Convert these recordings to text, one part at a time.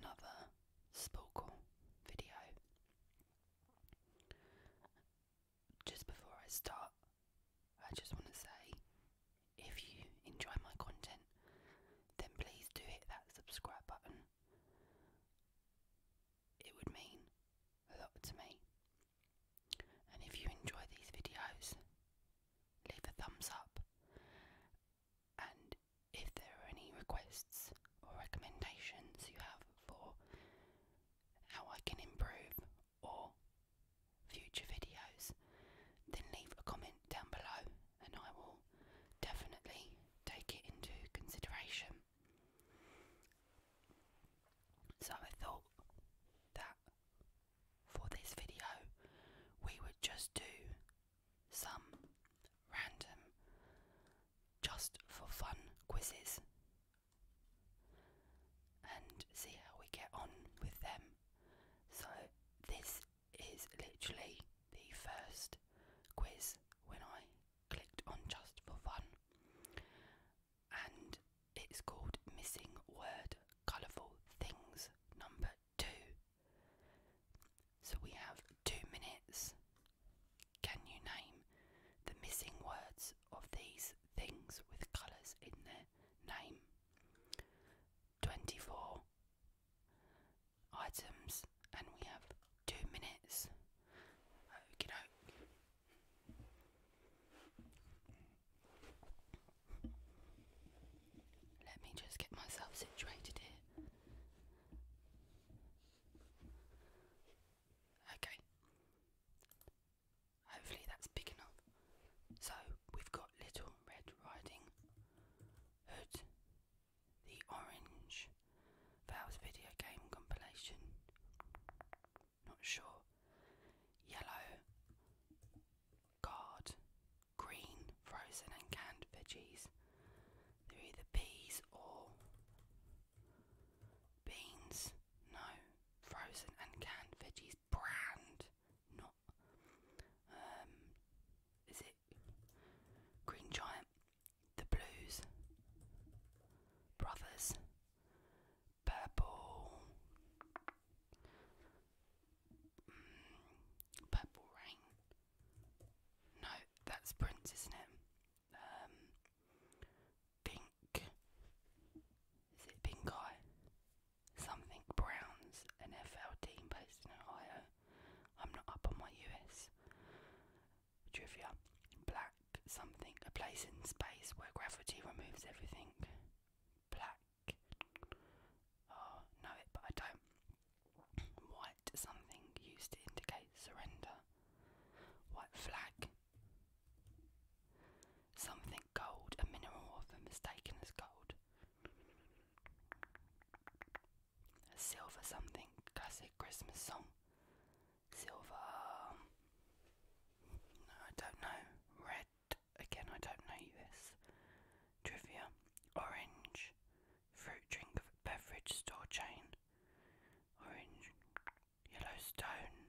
another Sporkle video. Just before I start, I just want to say if you enjoy my content, then please do hit that subscribe button. It would mean a lot to me. And if you enjoy these videos, leave a thumbs up and if there are any requests or recommendations you have for how I can improve or future videos, then leave a comment down below and I will definitely take it into consideration. So I thought that for this video we would just do some random, just for fun quizzes and see how we get on with them. So, this is literally the first quiz when I clicked on Just for Fun, and it's called Missing Word Colourful Things number two. So we have two minutes. Can you name the missing words of these things with colours in their name? 24 items, and we have two minutes. Okie doke. Let me just get myself situated here. Okay. Hopefully that's big enough. So we've got Little Red Riding Hood, the Orange Vows video game compilation. Not sure. Yellow card, green, frozen and canned veggies, they're either peas or beans. No, frozen and canned veggies brand. Not. Um, is it Green Giant, The Blues, Brothers, Purple, mm, Purple Rain, no, that's Prince, isn't it? Um, pink. Is it Pink Eye? Something Browns, an FL team based in Ohio. I'm not up on my US trivia. Black something, a place in space where gravity removes everything. Black. Oh, know but I don't. White something used to indicate surrender. White flag. Something gold, a mineral often mistaken as gold. A silver something, classic Christmas song. Silver. Um, I don't know. Red, again, I don't know this. Trivia. Orange fruit drink beverage store chain. Orange, Yellowstone.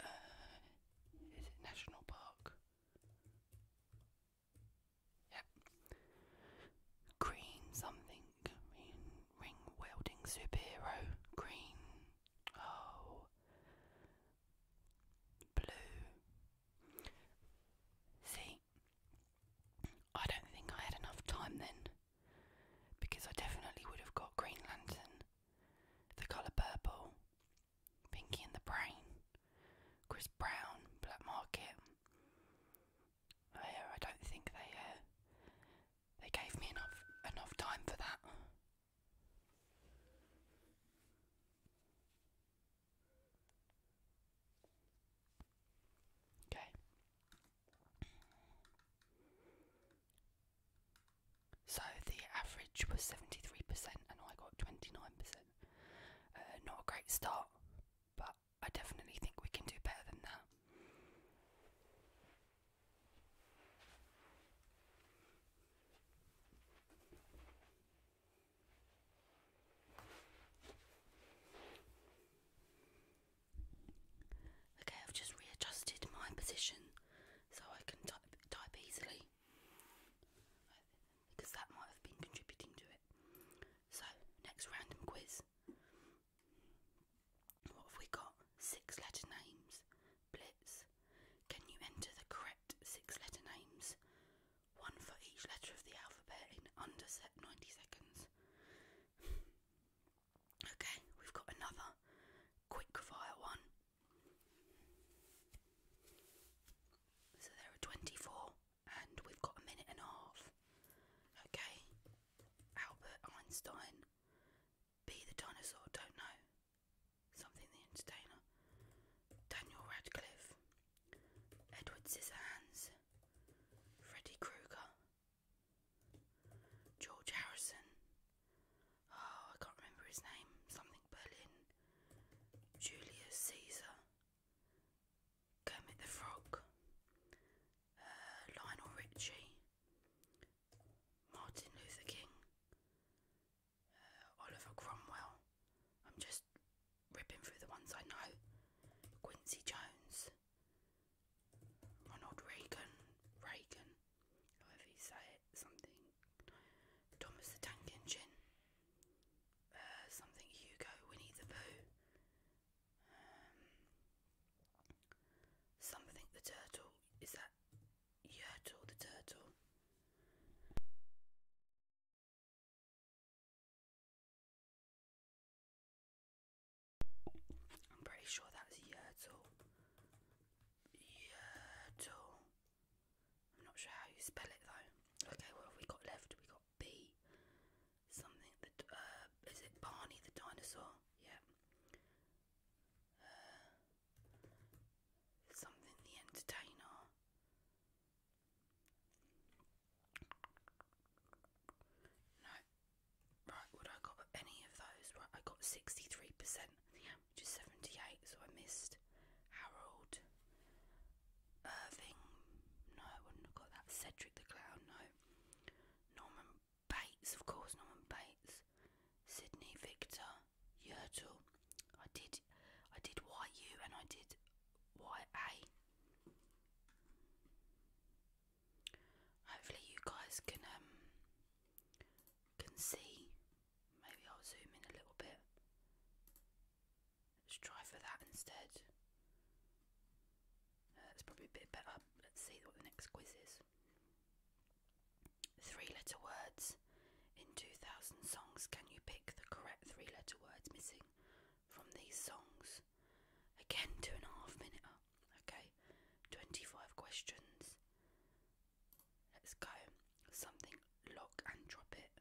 Uh, is it National Park? Yep. Green something. Green ring wielding superhero. Green. Oh. Blue. Sea I don't think I had enough time then, because I definitely would have got Green Lantern, the colour purple, Pinky and the Brain, Chris Brown, Black Market. Uh, I don't think they uh, they gave me enough enough time for that. Okay. So the average was 73% and I got 29%. Uh, not a great start, but I definitely think we can do better than that. Okay, I've just readjusted my position so I can type, easily because that might have been contributing to it. So, next random quiz. What have we got? Six letter names. Blitz. Can you enter the correct six letter names one for each letter of the alphabet in under 90 seconds. okay, we've got another quick fire one. So there are 24, and we've got a minute and a half. Okay, Albert Einstein. Be the dinosaur, don't know. Something the entertainer. Daniel Radcliffe. Edward Scissorhands. Freddy Krueger, George Harrison, oh, I can't remember his name, something Berlin, Julius Caesar, Kermit the Frog, uh, Lionel Richie, Martin Luther King, uh, Oliver Cromwell. I'm just ripping through the ones I know Quincy Jones, Ronald Reagan, Reagan, however you say it, something, Thomas the Tank Engine, uh, something Hugo, Winnie the Pooh, um, something the Turtle, is that Yertle the Turtle? I'm pretty sure that's Yertle. Yertle. I'm not sure how you spell it though. Okay, what have we got left? We got B. Something that uh, it Barney the dinosaur? Yeah. Uh, something the entertainer. No. Right, would I got any of those? Right, I got 63%, which is 78, so I missed Harold Irving. No, I wouldn't have got that. Cedric the Clown, no. Norman Bates, of course, Norman Bates. Sydney Victor Yertle. I did I did YU and I did YA. Hopefully you guys can um, can see. Maybe I'll zoom in a little bit. Let's try for that instead. Uh, that's probably a bit better. Let's see what the next quiz is. Three letter words. In 2000 songs, can you pick the correct three letter words missing from these songs. Again, two and a half minute. Okay, 25 questions. Let's go. Something lock and drop it.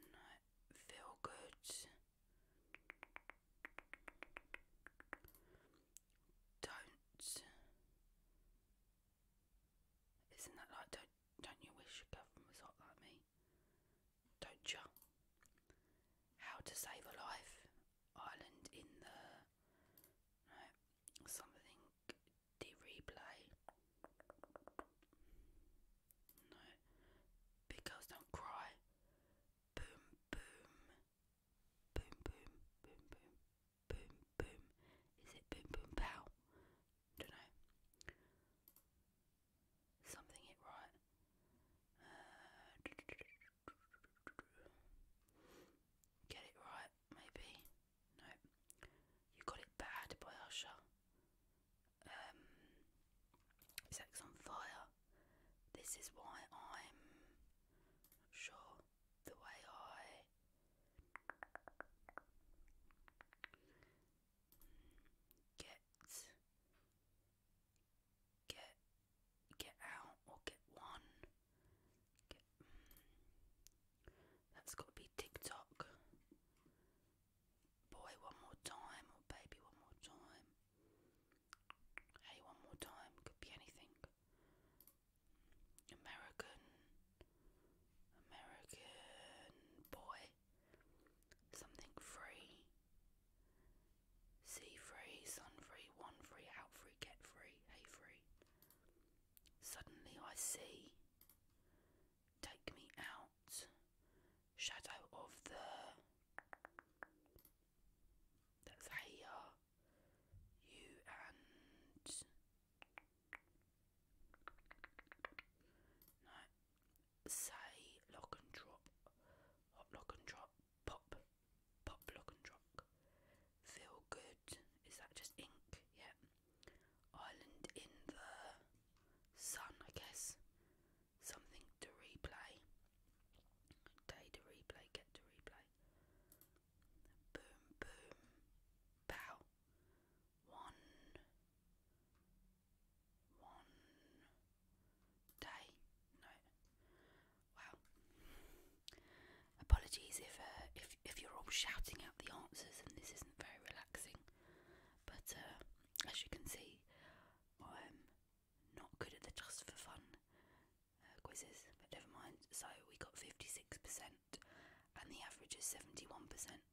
No, feel good. Don't. Isn't that like don't don't you wish a girlfriend was hot like me? don't you? How to save a life, Island in the no, something the replay. No, big girls don't cry. Boom, boom, boom, boom, boom, boom, boom, boom. Is it boom, boom, pow? Don't know something it right. Uh, get it right, maybe. No, you got it bad by Usher. Um, Sex on Fire. This is why I'm sure the way I get get get out or get one mm, that's got to be TikTok boy one more time or baby one more time hey one more time could be anything American American boy Something free. See free, sun free, one free, out free, get free, a free. Suddenly I see. Take me out. Shadow of the. That's Haya. You and. No. Say lock and drop. Hot lock and drop. Pop. Pop lock and drop. Feel good. Is that just ink? Yeah. Island in the sun, I guess. Something to replay. Day to replay, get to replay. Boom, boom, bow. One, one day. Wow. Apologies if uh, if if you're all shouting out the answers and this isn't very relaxing. But uh, as you can see, I'm not good at the just for fun uh, quizzes. But never mind. So we got fifty six percent, and the average is seventy one percent.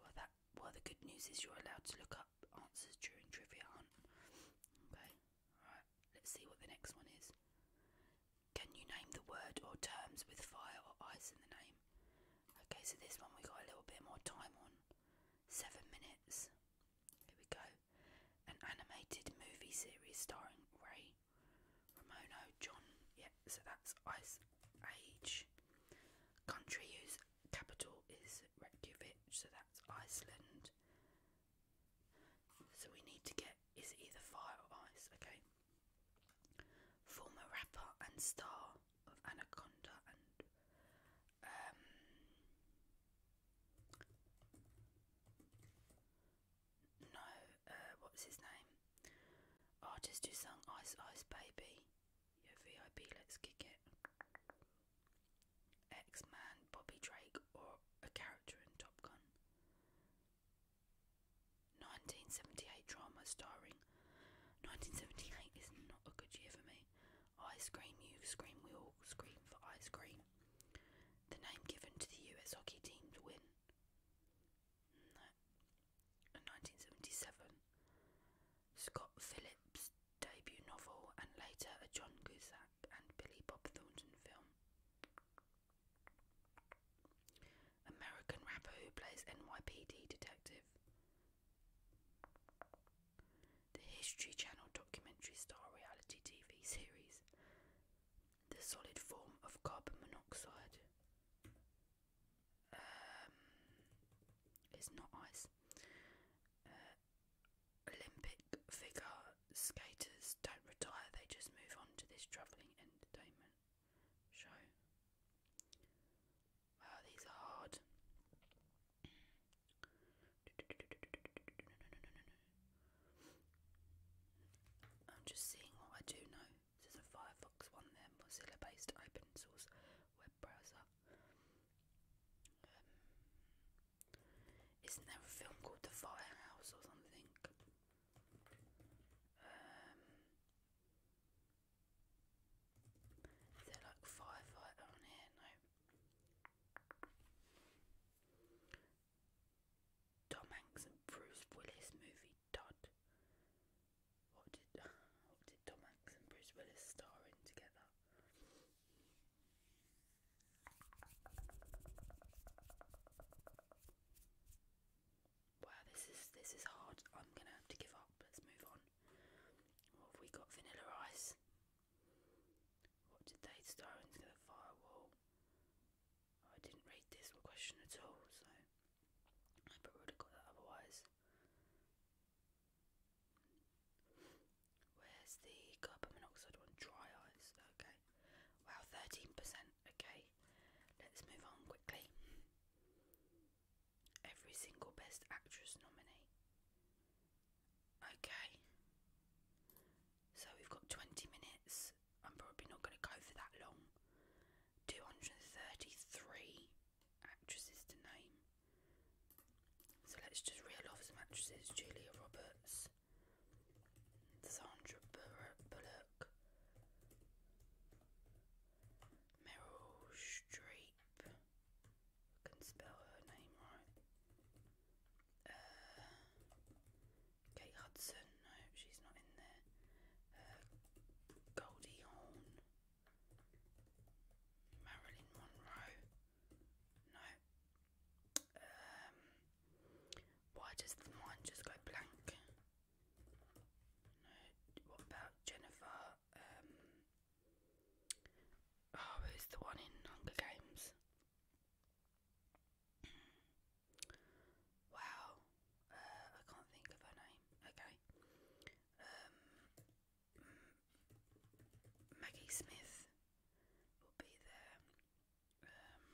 Well, that well, the good news is you're allowed to look up answers during trivia hunt. Okay, alright, let's see what the next one is. Can you name the word or terms with fire or ice in the name? Okay, so this one we got a little bit more time on. Seven minutes. Here we go. An animated movie series starring Ray, Romano, John. Yeah, so that's ice age. Country whose capital is Reykjavik, so that's Iceland. So we need to get is either fire or ice, okay? Former rapper and star of Anaconda and um no, uh, what was his name? Artist who sung Ice Ice Baby. Yo VIP, let's kick it. X Man, Bobby Drake, or a character in Top Gun. 1978 drama starring. 1978 is not a good year for me. Ice cream, you scream, we all scream for ice cream. The name given to the US hockey team to win in 1977. Scott Phillips' debut novel and later a John Cusack and Billy Bob Thornton film. American rapper who plays NYPD detective. The History Channel documentary style reality TV series. The solid form of carbon monoxide. Um, it's not ice. Uh, Olympic figure skaters don't retire; they just move on to this travelling entertainment show. these are hard. I'm just seeing what I do know. This is a Firefox one, their Mozilla based open source web browser. Um, isn't there a film called The Firehouse or something? Um, is like Firefighter on here? No. Tom Bruce Willis movie Todd. What did what did Tom Hanks and Bruce Willis star in together? Wow, this is this is hard. I'm gonna have to give up. Let's move on. What have we got? Vanilla Ice. What did they star in together? Firewall. I didn't read this question at all, so I probably got that otherwise. Where's the carbon monoxide one? Dry eyes. Okay. Wow, 13%. Okay. Let's move on quickly. Every single Best Actress nominee. Okay. So we've got 20 minutes. I'm probably not going to go for that long. 233 actresses to name. So let's just reel off some actresses Julia Roberts, Sandra Bullock, Meryl Streep. can spell her name right. Uh, Kate Hudson. No, she's not in there. Goldie Hawn, Marilyn Monroe. No. Um, why does the just go blank? No. What about Jennifer? Um, oh, who's the one in Hunger Games? wow. I can't think of her name. Okay. Um, mm, Maggie Smith will be there. Um,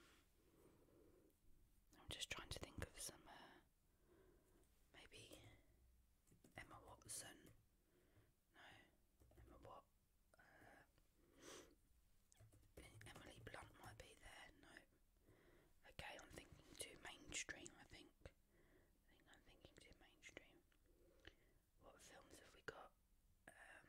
I'm just trying to think of some. Uh, maybe Emma Watson. No, Emma Watt. Uh, Emily Blunt might be there. No. Okay, I'm thinking too mainstream, I think. I am thinking too mainstream. What films have we got? Um,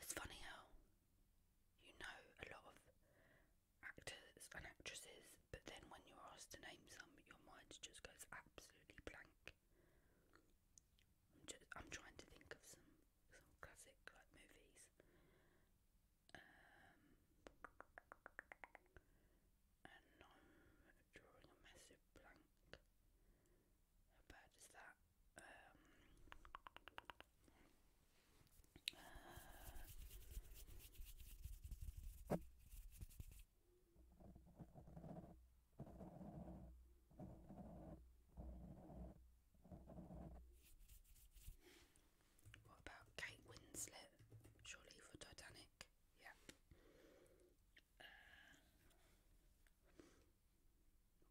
it's funny how you know a lot of actors and actresses, but then when you're asked to name some, your mind just goes absolutely blank. I'm, trying to think of some some classic like movies. Um, and I'm drawing a massive blank. How is that? Um, uh, what about Kate Winslet? Surely for Titanic. Yeah. Uh,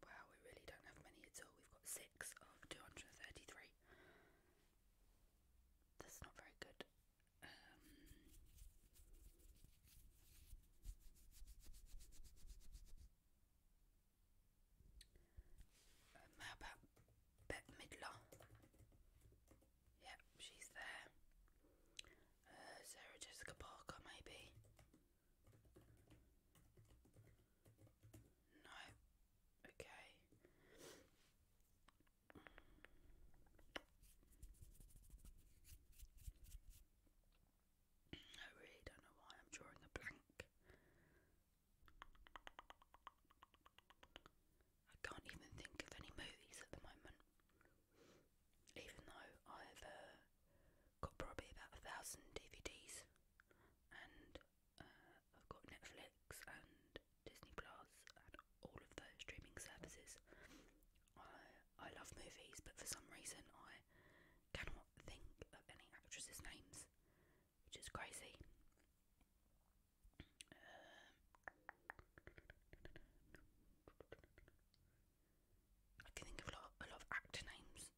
wow, we really don't have many at all. We've got six of 233. That's not very good. Um, um, Midler? Yep, she's there. Uh, Sarah Jessica Parker, maybe. No, okay. I really don't know why I'm drawing a blank. I can't even think of any movies at the moment. Even though I've uh, got probably about a thousand DVDs, and uh, I've got Netflix and Disney Plus and all of those streaming services, I I love movies, but for some reason I cannot think of any actresses' names, which is crazy. Um, I can think of a lot, a lot of actor names,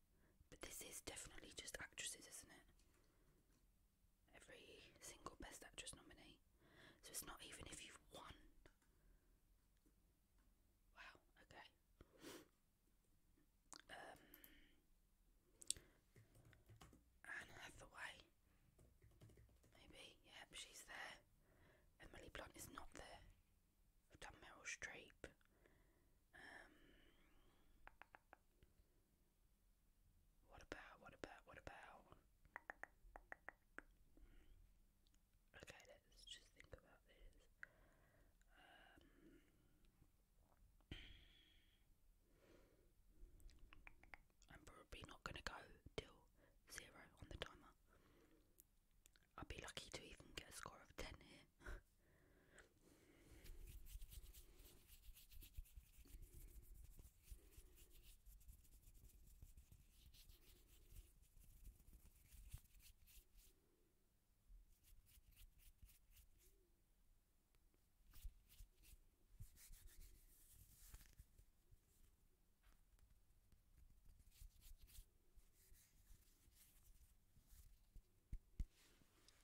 but this is definitely just actresses, isn't it? Every single Best Actress nominee. So it's not even if you've won. Wow, okay. Um, Anne Hathaway. Maybe, yep, she's there. Emily Blunt is not there. We've done Meryl Streep. Um What about what about what about Okay, let's just think about this. Um, I'm probably not going to go till zero on the timer. I'd be lucky to even get a score of 10 here.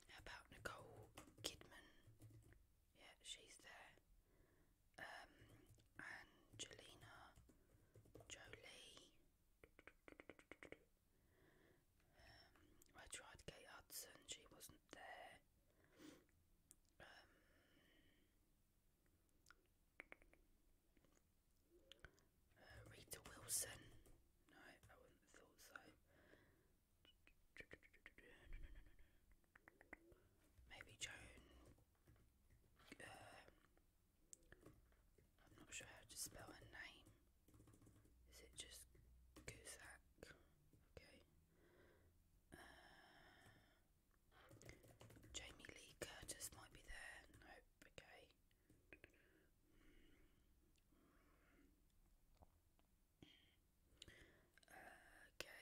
How about Nicole Kidman? Yeah, she's there um, Angelina Jolie. Um, I tried Kate Hudson, she wasn't there. Um, uh, Rita Wilson. No, I wouldn't thought so. Maybe Joan. Uh, I'm not sure how to spell her name. Is it just Guzak? Okay. Uh, Jamie Lee Curtis might be there. Nope, okay. Uh, okay.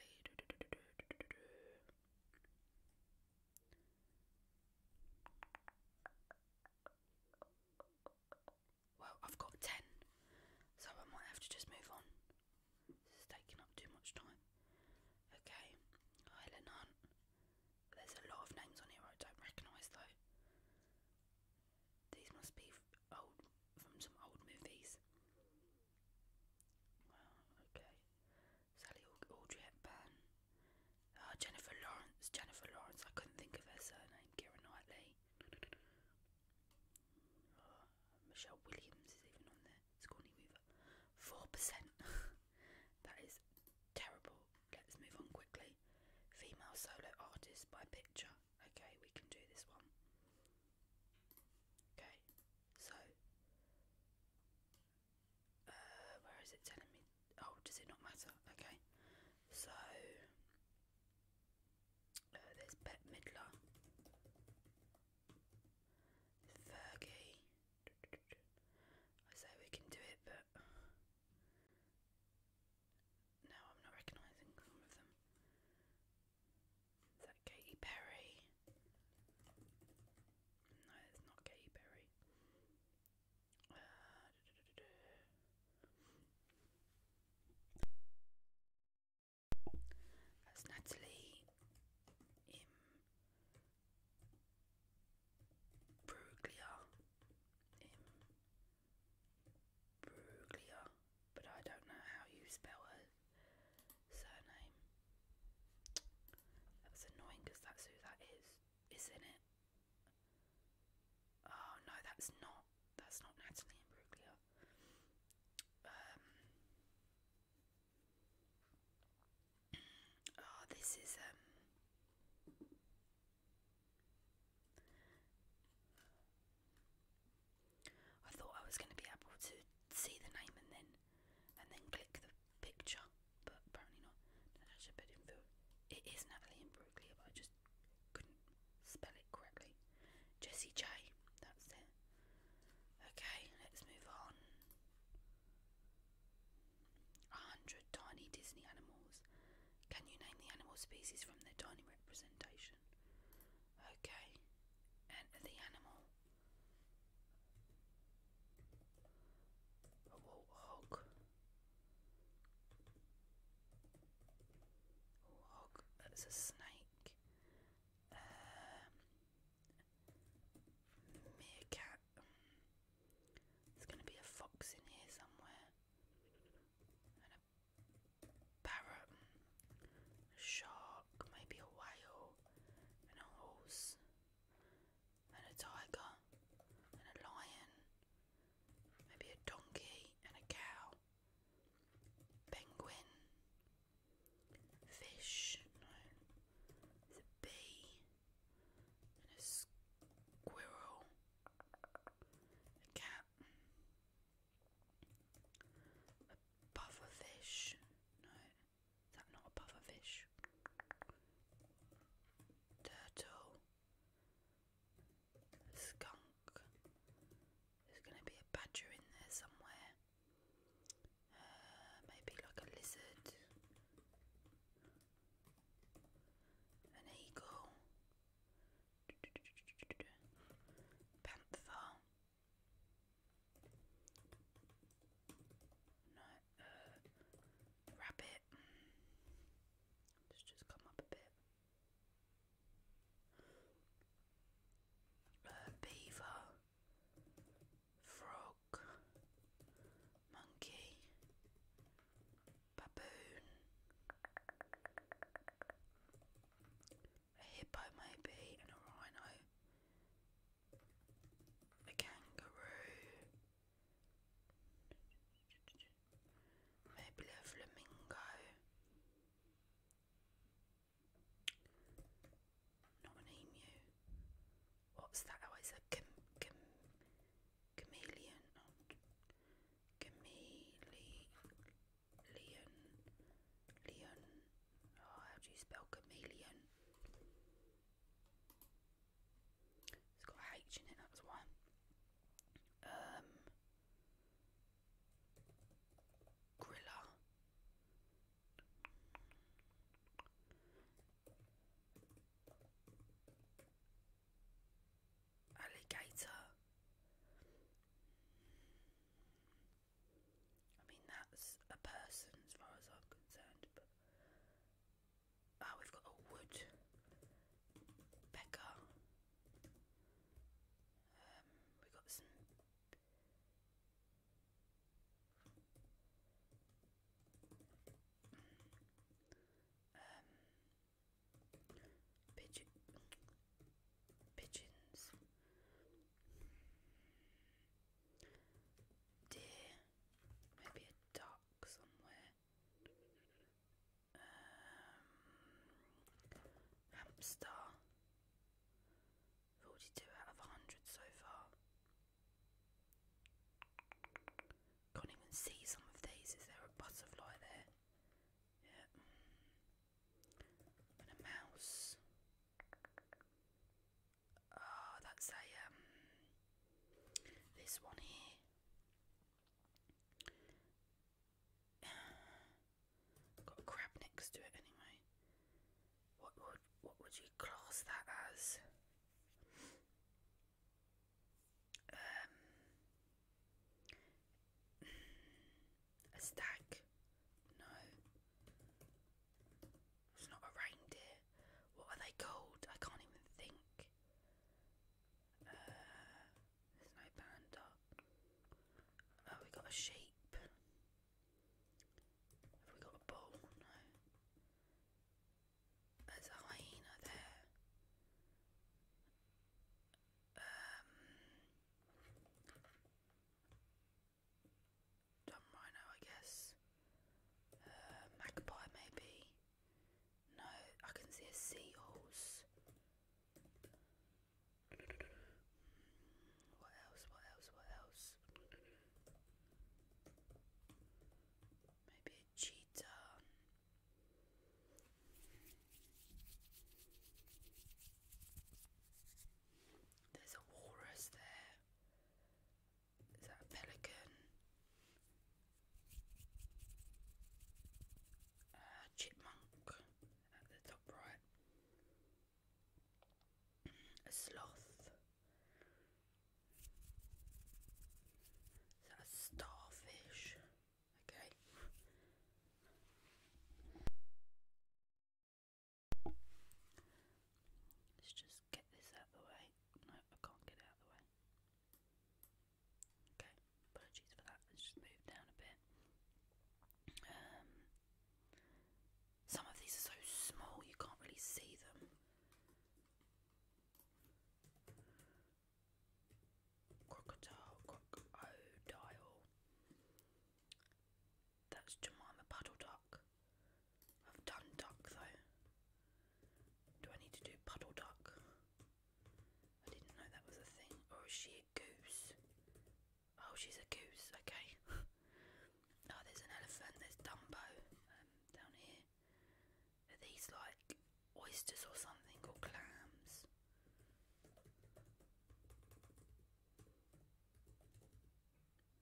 Well, I've got 10, so I might have to just move on. This is taking up too much time. Okay, Helen There's a lot of names on here I don't recognise though. These must be old from some old movies. Wow, okay. Sally Audrey Hepburn, uh, Jennifer Lawrence, Jennifer Lawrence, I couldn't think of her surname, Kira Knightley, uh, Michelle Williams is even on there, Scorny Weaver, 4%, that is terrible, let's move on quickly, female solo artist by picture, okay, we can do this one, okay, so, uh, where is it telling me? Oh, does it not matter? Okay. So, uh, there's Pet Midler, Fergie. I say we can do it, but no, I'm not recognising some of them. Is that Katy Perry? No, it's not Katy uh, That's Natalie Imbruglia. Imbruglia. But I don't know how you spell her surname. That's annoying because that's who that is, isn't it? Oh no, that's not. That's not Natalie Imbruglia. Um. Oh, this is um. I thought I was going to be able to see the name and then and then click the picture, but apparently not. Natasha Bedingfield. It is Natalie in Brooklyn, but I just couldn't spell it correctly. Jessie J, that's it. Okay, let's move on. A hundred tiny Disney animals. Can you name the animal species from their tiny representation? Okay, enter the animal a warthog. Warthog. That's a snake. Um, meerkat. There's going to be a fox in here somewhere. And a parrot. A shark. Maybe a whale. And a horse and a tiger, and a lion, maybe a donkey and a cow, penguin, fish, no, there's a bee, and a squirrel, a cat, a pufferfish, no. Is that not a pufferfish? Turtle. Skunk. There's going to be a badger in there somewhere. Uh, maybe like a lizard. An eagle. Panther. Not uh, wrap it. Just just come up a bit. Uh, beaver, frog, monkey, baboon, a hippo maybe, and a rhino a kangaroo, maybe a flamingo. Not an emu. What's that? Oh, it's a cham cham chameleon. Not chameleon. Leon. Leon. Oh, how do you spell chameleon? It's got a H in it, that's why. Um, Grilla. Alligator. I mean, that's a person as far as I'm concerned, Ah, we've got a wood. Becca. Um, we've got some. pigeons. Deer. Maybe a duck somewhere. Um, hamster. 42 out of 100 so far. Can't even see some of these. Is there a butterfly there? Yeah. And a mouse oh, that's a um, this one here. Got crab next to it anyway. What would what would you class that as? Um, a stag? No. It's not a reindeer. What are they called? I can't even think. Uh, there's no panda. Oh, we got a sheep. Have we got a bull? There's a hyena there. Um, Dumb Rhino, I guess. Uh, magpie, maybe. No, I can see a seahorse. Mm, what else? What else? What else? Maybe a cheetah. There's a walrus there. Is that a pelican? A chipmunk at the top right. A sloth. Is that a starfish? Okay. Let's just get this out of the way. No, I can't get it out of the way. Okay, apologies for that. Let's just move down a bit. Um, some of these are so small you can't really see them. Crocodile, crocodile. That's Jemima Puddle Duck. I've done duck though. Do I need to do puddle duck? I didn't know that was a thing. Or is she a goose? Oh, she's a goose, okay. oh, there's an elephant, there's Dumbo um, down here. Are these like oysters or something, or clams?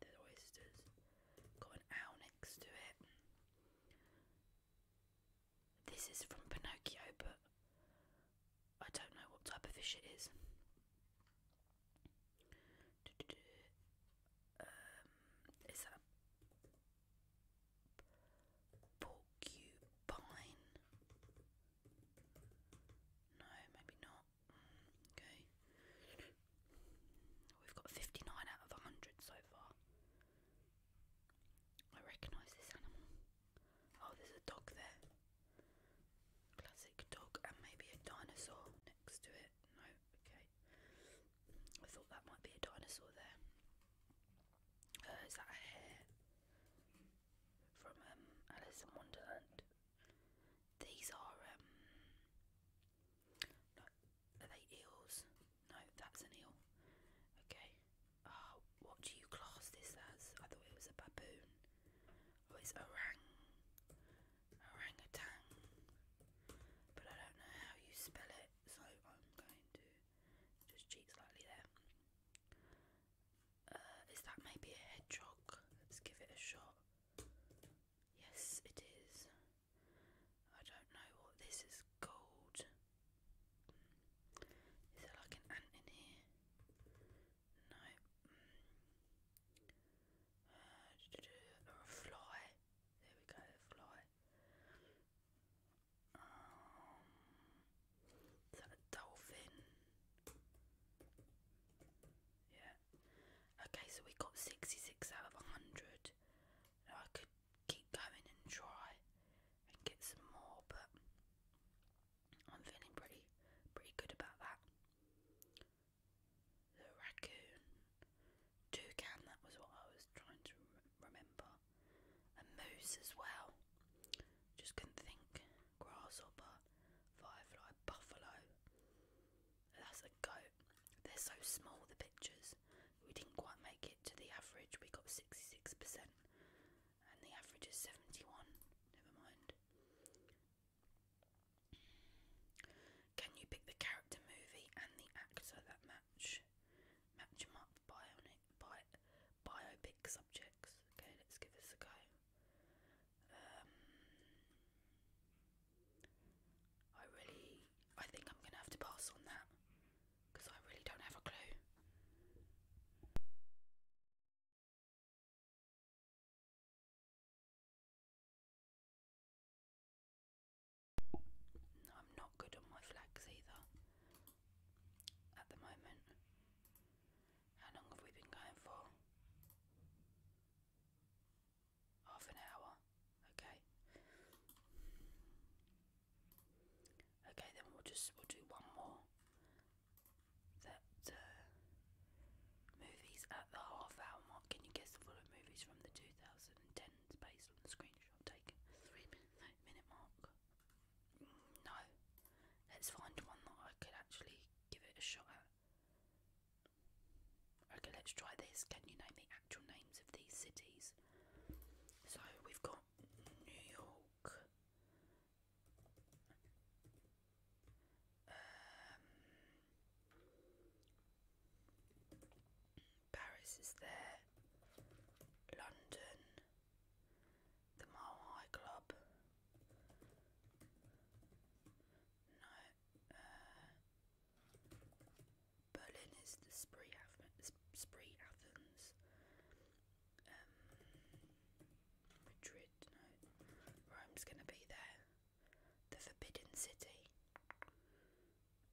the oysters. Got an owl next to it. This is from Pinocchio, but I don't know what type of fish it is. Um, is that porcupine? No, maybe not. Okay. We've got 59 out of 100 so far. I recognise this animal. Oh, there's a dog there. Classic dog, and maybe a dinosaur next to it. No, okay. I thought that might be a dinosaur there. Uh, that a hare from um, Alice in Wonderland? These are um, are they eels? No, that's an eel. Okay. Ah, what do you class this as? I thought it was a baboon. Oh it's orang orangutan. But I don't know how you spell it, so I'm going to just cheat slightly there. Uh, that maybe a hedgehog? Let's give it a shot. Yes, it is. I don't know what this is called. Is there like an ant in here? No. Mm. Uh, a fly. There we go, a fly. Um, is that a dolphin? Yeah. Okay, so we got 66 out of 100. I could keep going and try and get some more, but I'm feeling pretty, pretty good about that. The raccoon, toucan, that was what I was trying to remember. A moose as well. Just couldn't think. Grasshopper, firefly, buffalo. That's a goat. They're so small, the pictures. We didn't quite make it to the average. We got 66%, and the average is 71. Never mind. Can you pick the character movie and the actor that match? Match them up bionic, bi, biopic subjects. Okay, let's give this a go. Um, I really, I think I'm gonna have to pass on that because I really don't have a clue. I'm not good on my flags either at the moment. How long have we been going for? Half an hour. Okay. Okay, then we'll just we'll do one more. That uh, movies at the half hour mark. Can you guess the following movies from the 2010s based on the screenshot taken? Three minute, mark. Mm, no. Let's find one that I could actually give it a shot Okay, let's try this. Can you name the actual names of these cities? So we've got New York, um, Paris is there, London, the Mile Club, no. Uh, Berlin is the spree, spree Athens. Um, Madrid, no. Rome's gonna be there. The Forbidden City.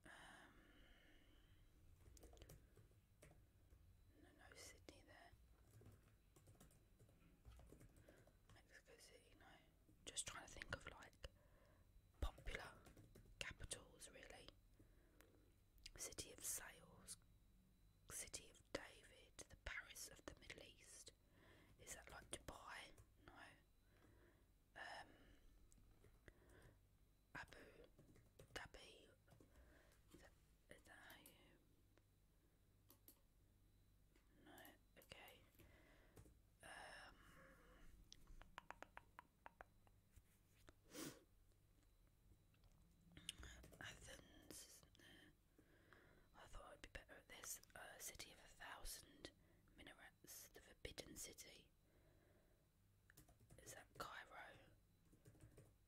Um, no, no Sydney there. Mexico City, no. Just trying to think of like popular capitals, really. City of Sales, City of David, the Paris of the Middle East. Is that like Dubai? No. Um, Abu Dhabi. Is that how no, okay. Um, Athens I thought I'd be better at this. city of a thousand minarets, the forbidden city. Is that Cairo?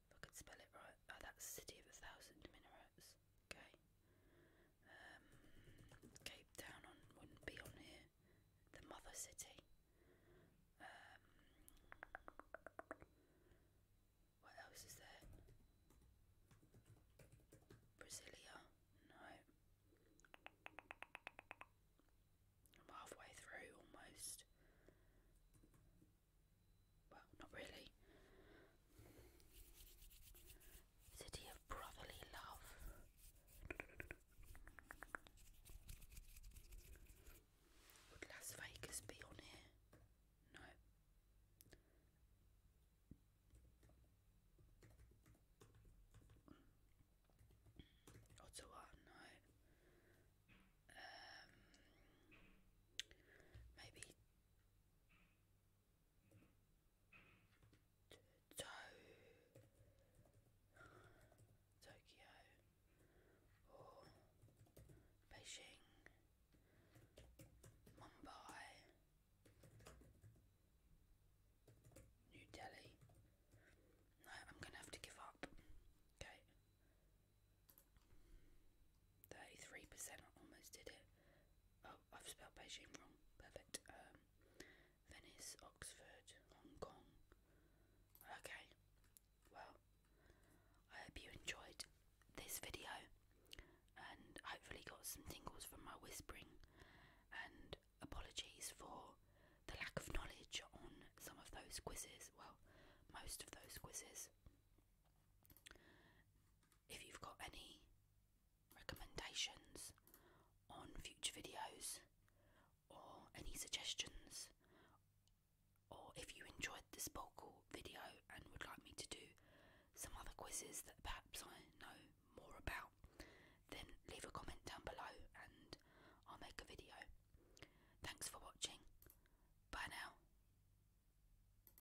I could spell it right. Oh, that's City of a Thousand Minarets. Okay. Um, Cape Town wouldn't be on here. The Mother City. Um, what else is there? Brasilia? No. I'm halfway through almost. Well, not really. City of brotherly love. Would Las Vegas be on here? No. Ottawa, no. Um, maybe Tokyo or Beijing, Mumbai, New Delhi. I'm gonna have to give up. Okay. 33% I almost did it. Oh, I've spelled Beijing wrong. Perfect. Um, Venice, Oxford, Hong Kong. Okay. Well, I hope you enjoyed this video and hopefully got some tingles from my whispering. And apologies for the lack of knowledge on some of those quizzes. Well, most of those quizzes if you've got any recommendations on future videos or any suggestions, or if you enjoyed this Sporkle video and would like me to do some other quizzes that perhaps I know more about, then leave a comment down below and I'll make a video. Thanks for watching. Bye now.